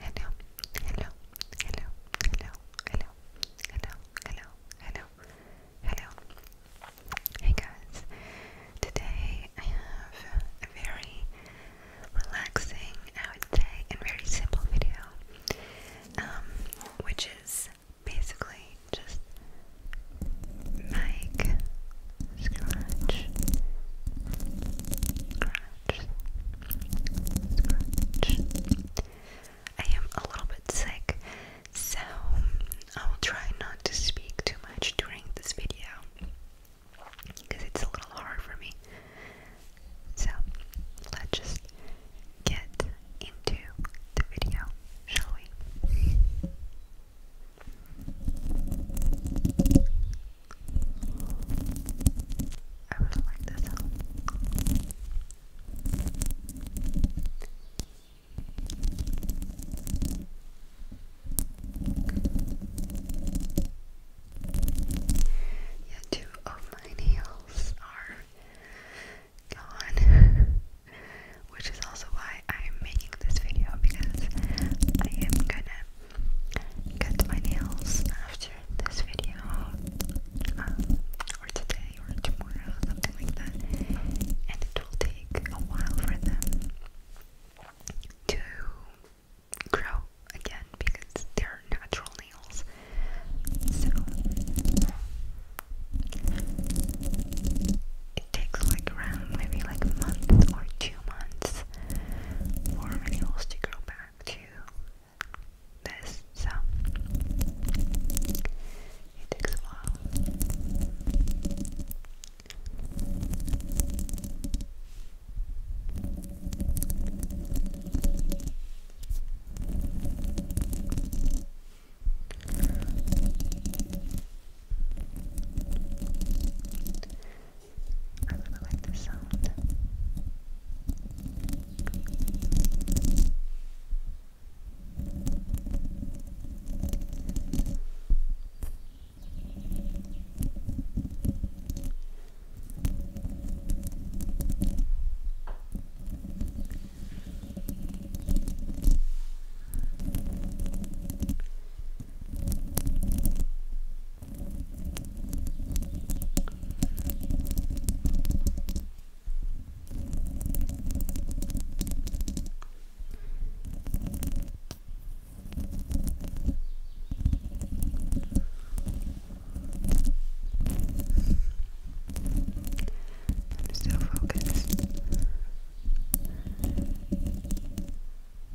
hello, hello, hello, hello, hello, hello, hello, hello, hello. Hey guys, today I have a very relaxing, I would say, and very simple video, um, which is basically just mic scratch, I am a little bit sick, so I will try not to speak too much during this video because it's a little hard for me. So let's just get into the video, shall we? I really like this sound. Yeah, two of my nails are gone, which is also why I'm making this video because I am gonna cut my nails after this video um, or today or tomorrow, something like that, and it will take a while for them to grow again because they're natural nails. So it takes like around maybe like a month or two months for animals to grow back to this, so it takes a while. I really like the sound. I'm still focused.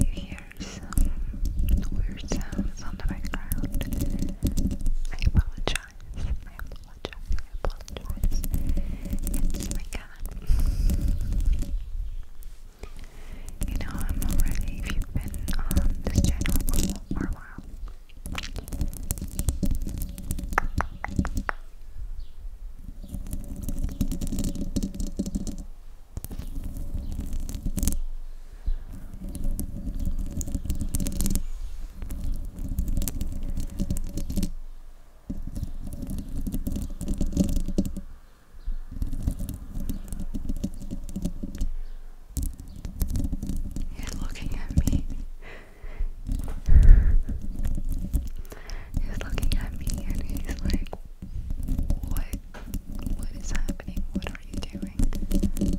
If you hear some weird sounds on the background, I apologize. I apologize. I apologize. It's oh my cat. You know, I'm already, if you've been on this channel for, a while. You're looking at me. He's looking at me and he's like, what? What is happening? What are you doing?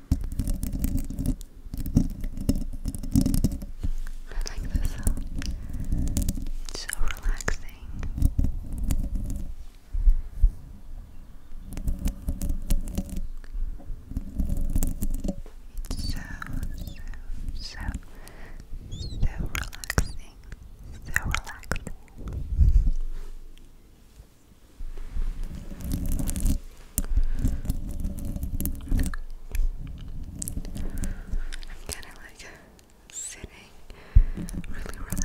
I like this It's so relaxing. It's so, so, so, so relaxing. So relaxing. I'm kind of like sitting really relaxed.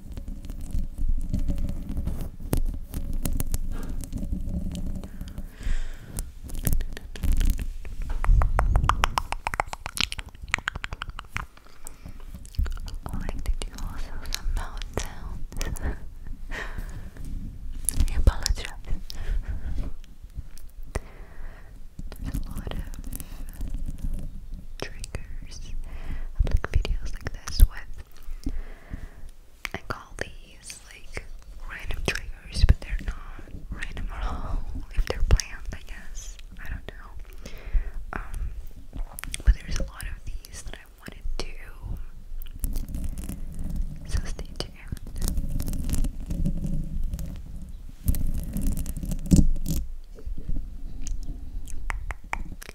I like to do also some mouth sounds. I There's a lot of triggers. I like videos like this with I call these like random triggers, but they're not random at all. If they're planned, I guess. I don't know. Um, but there's a lot of these that I wanted to. So stay tuned.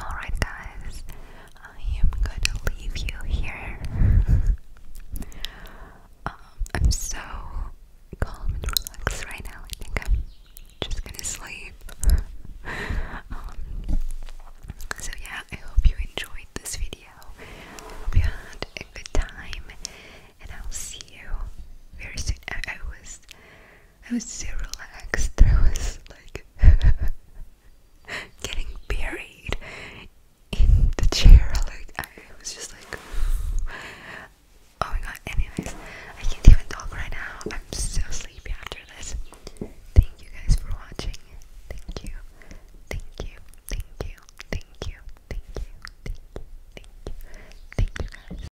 Alright, guys, I am gonna leave you here. um, so calm and relaxed right now. I think I'm just gonna sleep. um, so, yeah, I hope you enjoyed this video. I hope you had a good time, and I'll see you very soon. I, I was I was so relaxed. I was like getting buried in the chair. Like I was just like, oh my god. Anyways, I can't even talk right now. I'm so sleepy after this. Thank you guys for watching. Thank you. Thank you. Thank you. Thank you. Thank you. Thank you. Thank you.